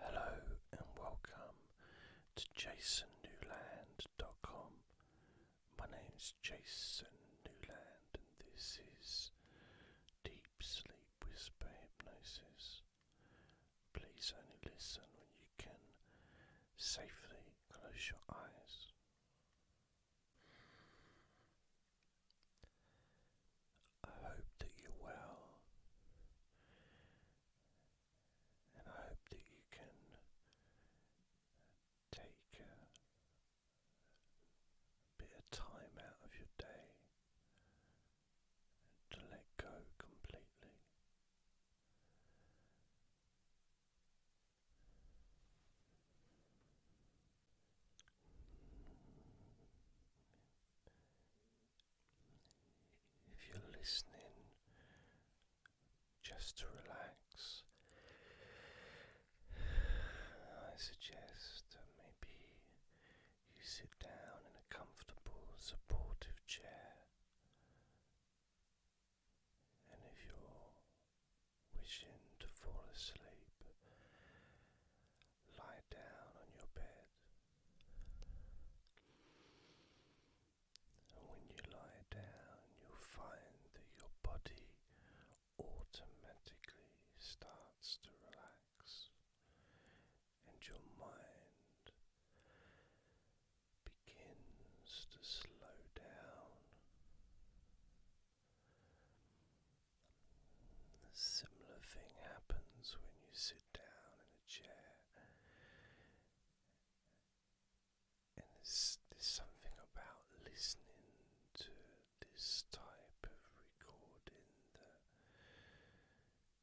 Hello and welcome to jasonnewland.com. My name's Jason Newland and this is Deep Sleep Whisper Hypnosis. Please only listen when you can safely close your eyes. I hope that you're well, and I hope that you can take a bit of time out of your day to let go completely. If you're listening, just to relax, I suggest that maybe you sit down in a comfortable, supportive chair. And if you're wishing to fall asleep, lie down on your bed. And when you lie down, you find that your body automatically starts to relax and your mind begins to slow down similar thing happens when you sit down in a chair. And there's, something about listening to this type of recording that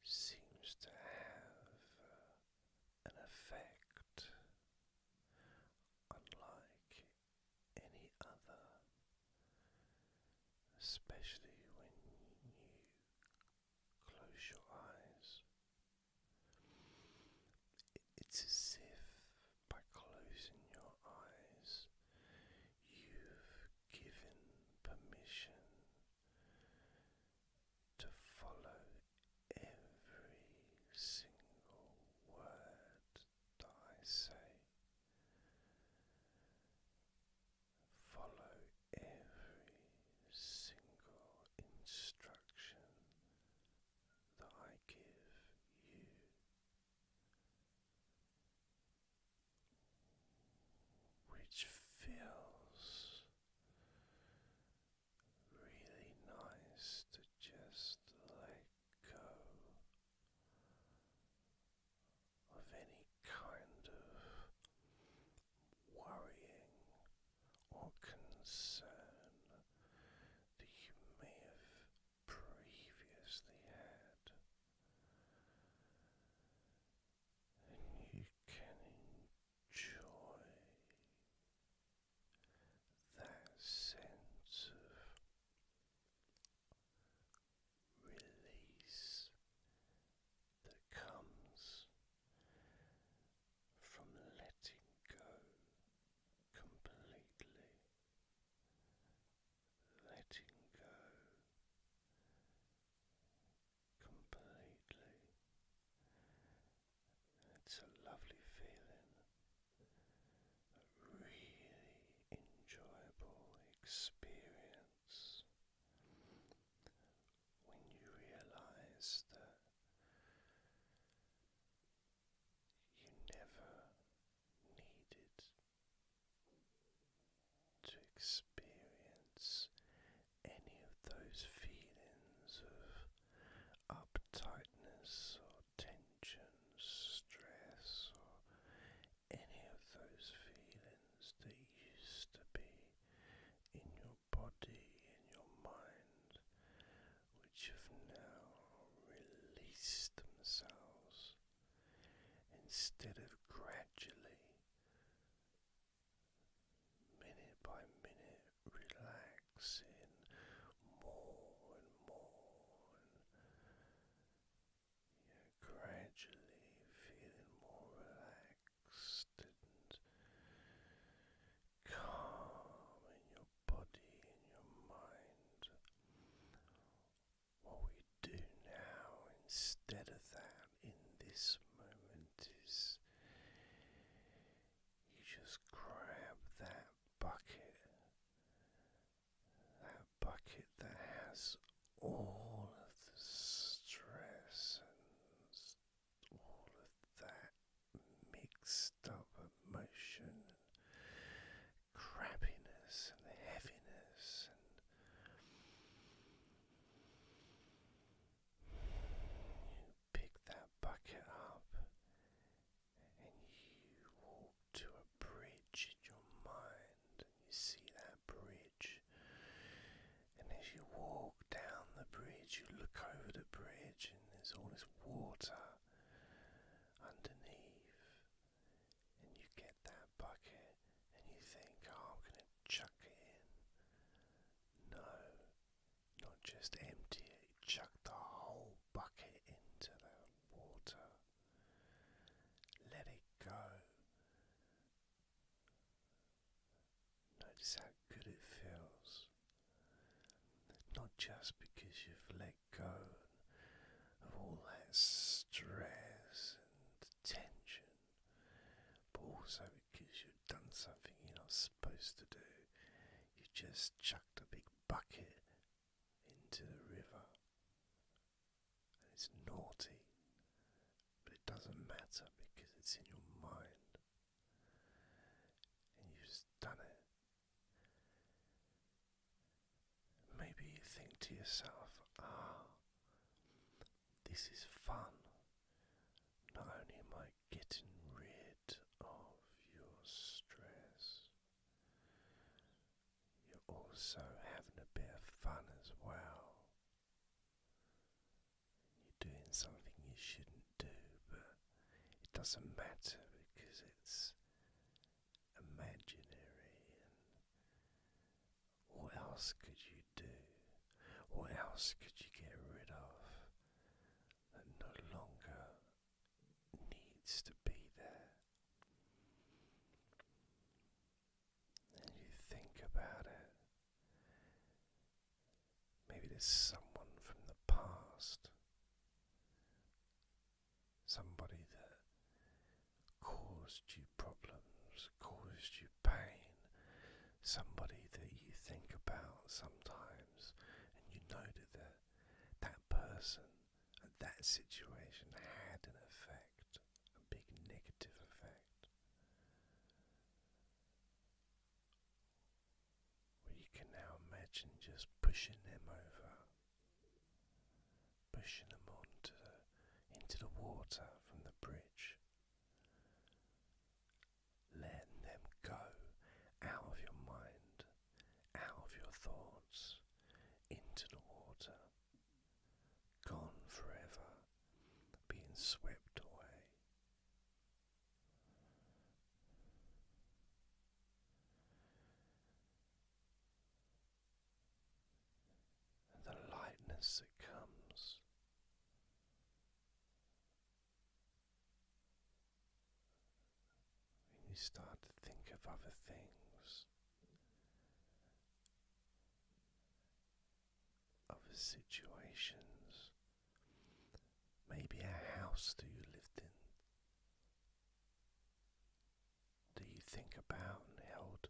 seems to have uh, an effect unlike any other especially when you close your eyes. It's as if by closing your eyes you've given permission to follow every single word I say. Follow every single instruction that I give you. Which feels really nice to just let go of any kind of worrying or concern that you may have previously had. And you can enjoy that sense of release that comes from letting go completely, letting go completely. It's a lovely feeling, really enjoyable experience when you realize that you never needed to experience any of those feelings of uptightness or tension, stress, or any of those feelings that used to be in your body and your mind, which have now released themselves instead of gradually, minute by minute, relaxing more and more you're gradually feeling more relaxed and calm in your body and your mind. What we do now instead of that in this moment is you just grab that bucket that bucket that has all of the stress and all of that mixed up emotion and crappiness and heaviness you pick that bucket up and you walk to a bridge in your mind, and you see that bridge. And as you walk down the bridge, you look over the bridge, and there's all this water underneath. And you get that bucket, and you think, oh, I'm going to chuck it in. No, not just empty it, chuck the whole bucket into the water. Let it go. Notice how good it feels. Not just because you've let go of all that stress and tension, but also because you've done something you're not supposed to do. You just chucked a big bucket into the river. And it's naughty, but it doesn't matter because it's in your mind. And you've just done it. Maybe you think to yourself, ah, this is fun. Not only am I getting rid of your stress, you're also having a bit of fun as well. You're doing something you shouldn't do, but it doesn't matter because it's imaginary. what else could you do? What else could you get rid of that no longer needs to be there. And you think about it. Maybe there's someone from the past, somebody that caused you problems, caused you pain, somebody that you think about sometimes, and you know that that person and that situation had an effect, a big negative effect. Well, you can now imagine just pushing them over, pushing them onto into the water from the bridge, letting them go out of your mind, out of your thoughts, into the water, gone forever, being swept away. the lightness that comes when you start to think of other things, other situations, maybe a house that you lived in, Do you think about and held,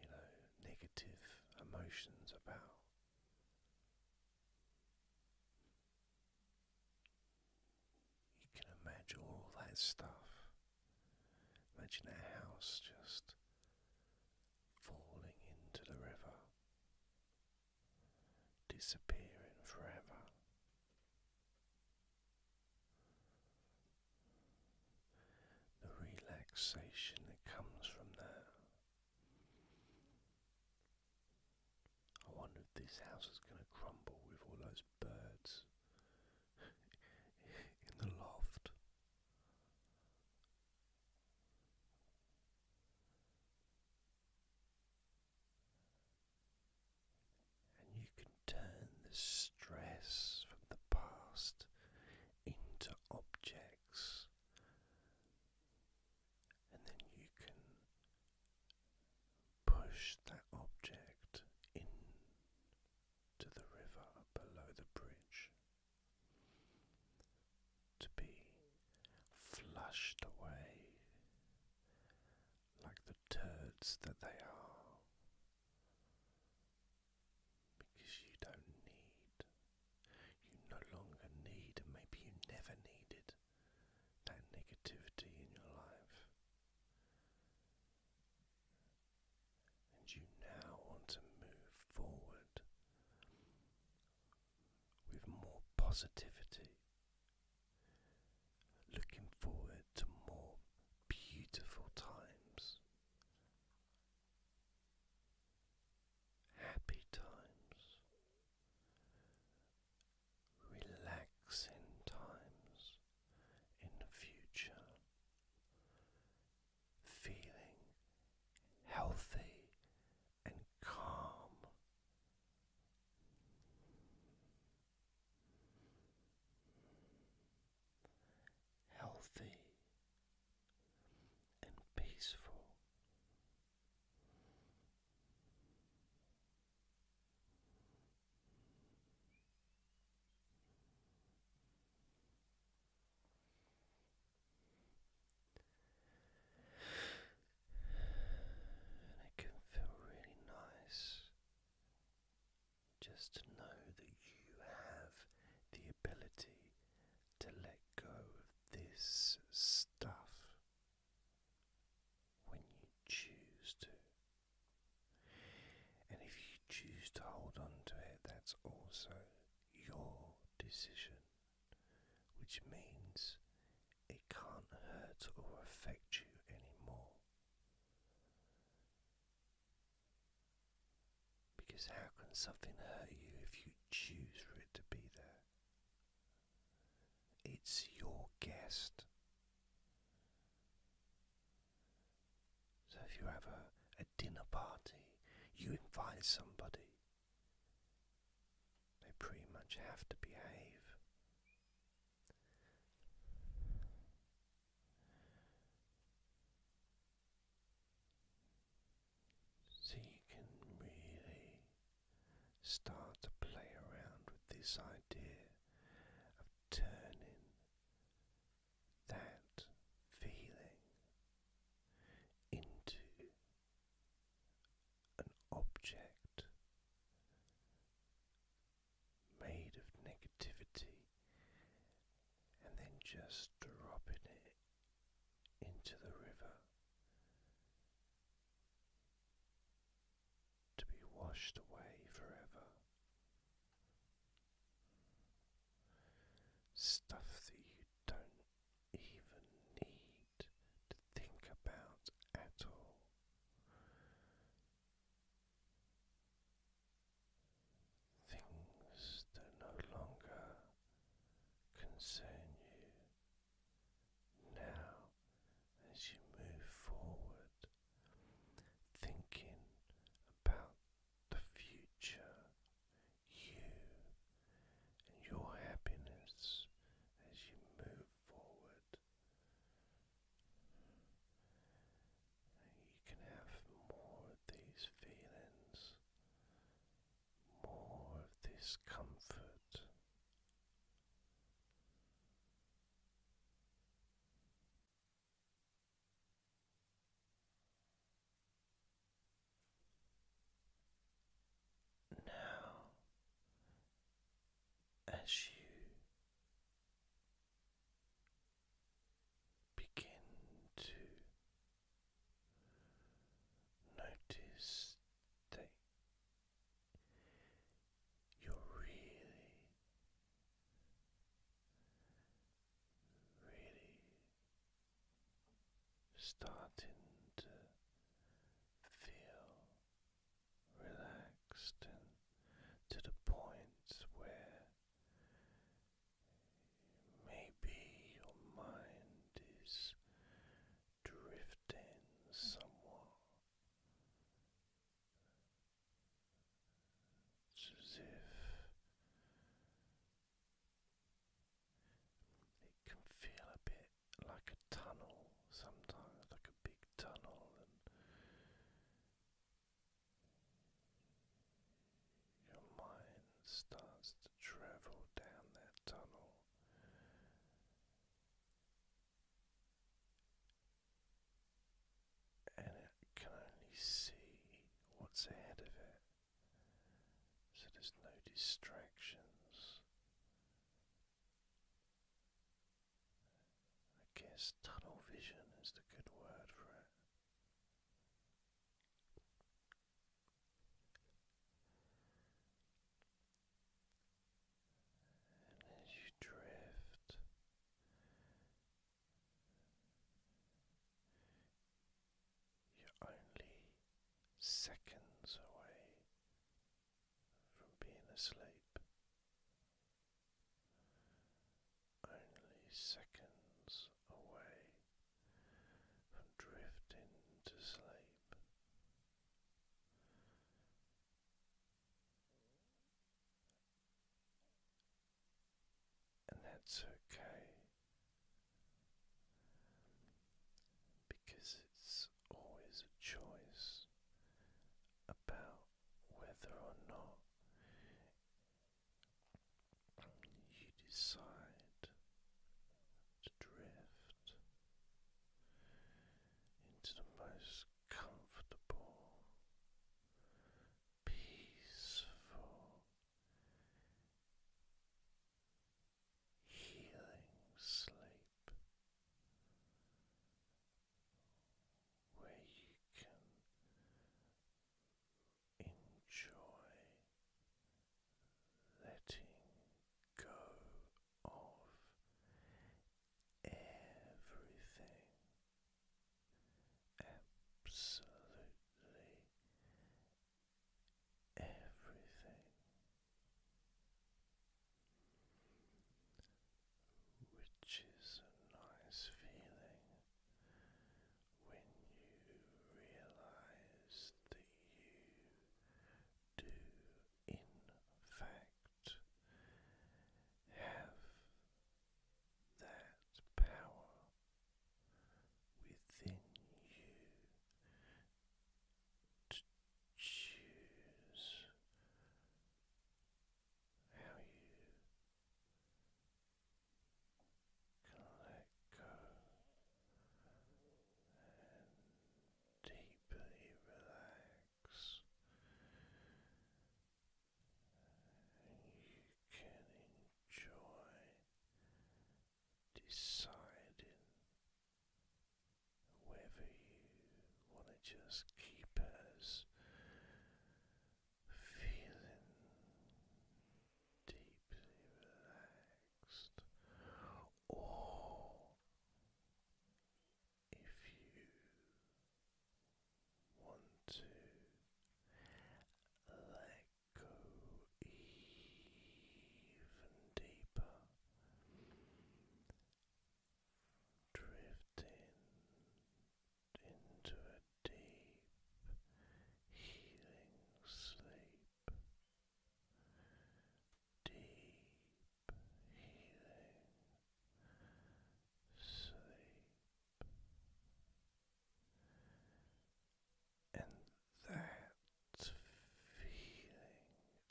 you know, negative emotions about. You can imagine all that stuff. Imagine a house just falling into the river, disappearing forever. The relaxation that comes from there. I wonder if this house is going to crumble with all those birds in the loft. And you can turn the stress from the past into objects and then you can push that object into the river below the bridge to be flushed away like the turds that they are. Because you don't need, you no longer need, maybe you never needed that negativity in your life. And you now want to move forward with more positivity, looking forward to more beautiful times, happy times, relaxing times in the future, feeling healthy and calm. Healthy and peaceful, and it can feel really nice just to know that you have the ability to let go of this stuff when you choose to. And if you choose to hold on to it, that's also your decision, which means it can't hurt or affect you anymore. Because how can something hurt you if you choose for it to be there? It's your guest. So if you have a, dinner party, you invite somebody, they pretty much have to behave. So you can really start to play around with this idea of turning that feeling into an object made of negativity and then just dropping it into the river to be washed away forever. Stuff that you don't even need to think about at all. Things that no longer concern you now, as you move forward, thinking about the future, you and your happiness as you move forward, you can have more of these feelings more of this comfort. Now, as you begin to Notice that you're really, really starting to feel relaxed and to the point where Maybe your mind is drifting somewhat. It's as if it can feel a bit like a tunnel sometimes, like a big tunnel, and your mind starts travel down that tunnel. And it can only see what's ahead of it, so there's no distractions. I guess tunnel vision is the good word for it. And as you drift, you're only seconds away from being asleep. Only seconds away from drifting to sleep. And that's okay because it's always a choice about whether or not you decide to drift into the most comfortable, peaceful, healing sleep where you can enjoy letting go of everything, absolutely everything. Which is a nice feeling when you realize that you do, in fact, have that power within you to choose how you can let go and deeply relax, you can enjoy deciding whether you want to just keep it feeling deeply relaxed, or if you want to let go even deeper, drifting into a deep healing sleep, deep healing sleep, and that feeling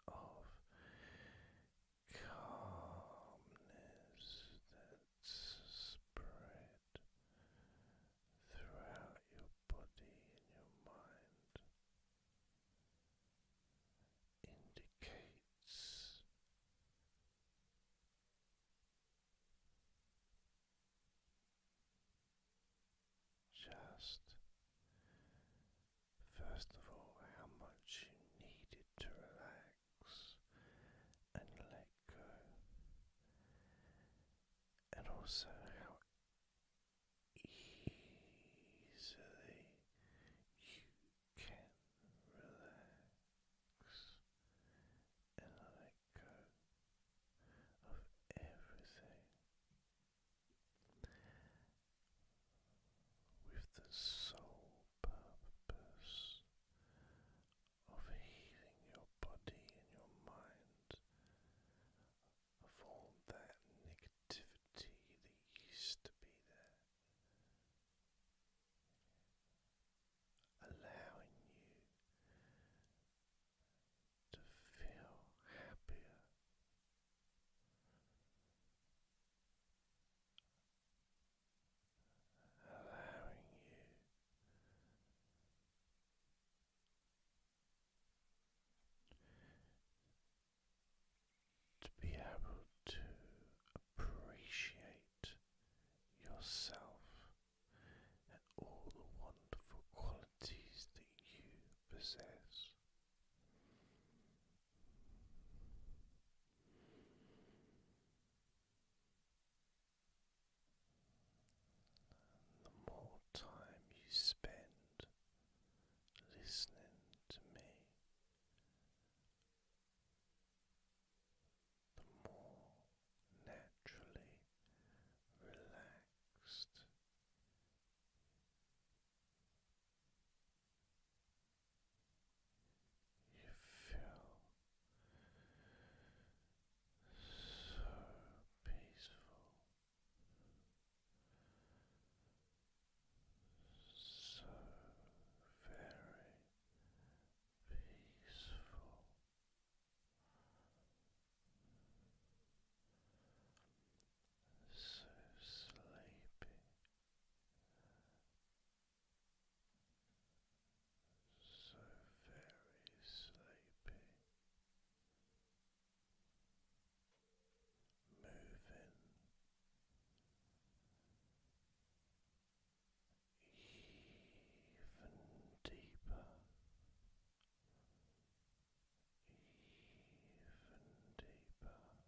of calmness that spread throughout your body and your mind indicates just first of all how much you needed to relax and lay uh, and also how easily you can relax and let go of everything. With the sole purpose of healing your body and your mind of all that negativity that used to be there. Allowing you to feel happier, allowing you to be able to appreciate yourself and all the wonderful qualities that you possess the more time you spend listening to me, the more naturally relaxed you feel so peaceful, so very peaceful. So sleepy, so very sleepy, moving even deeper. Even deeper, five,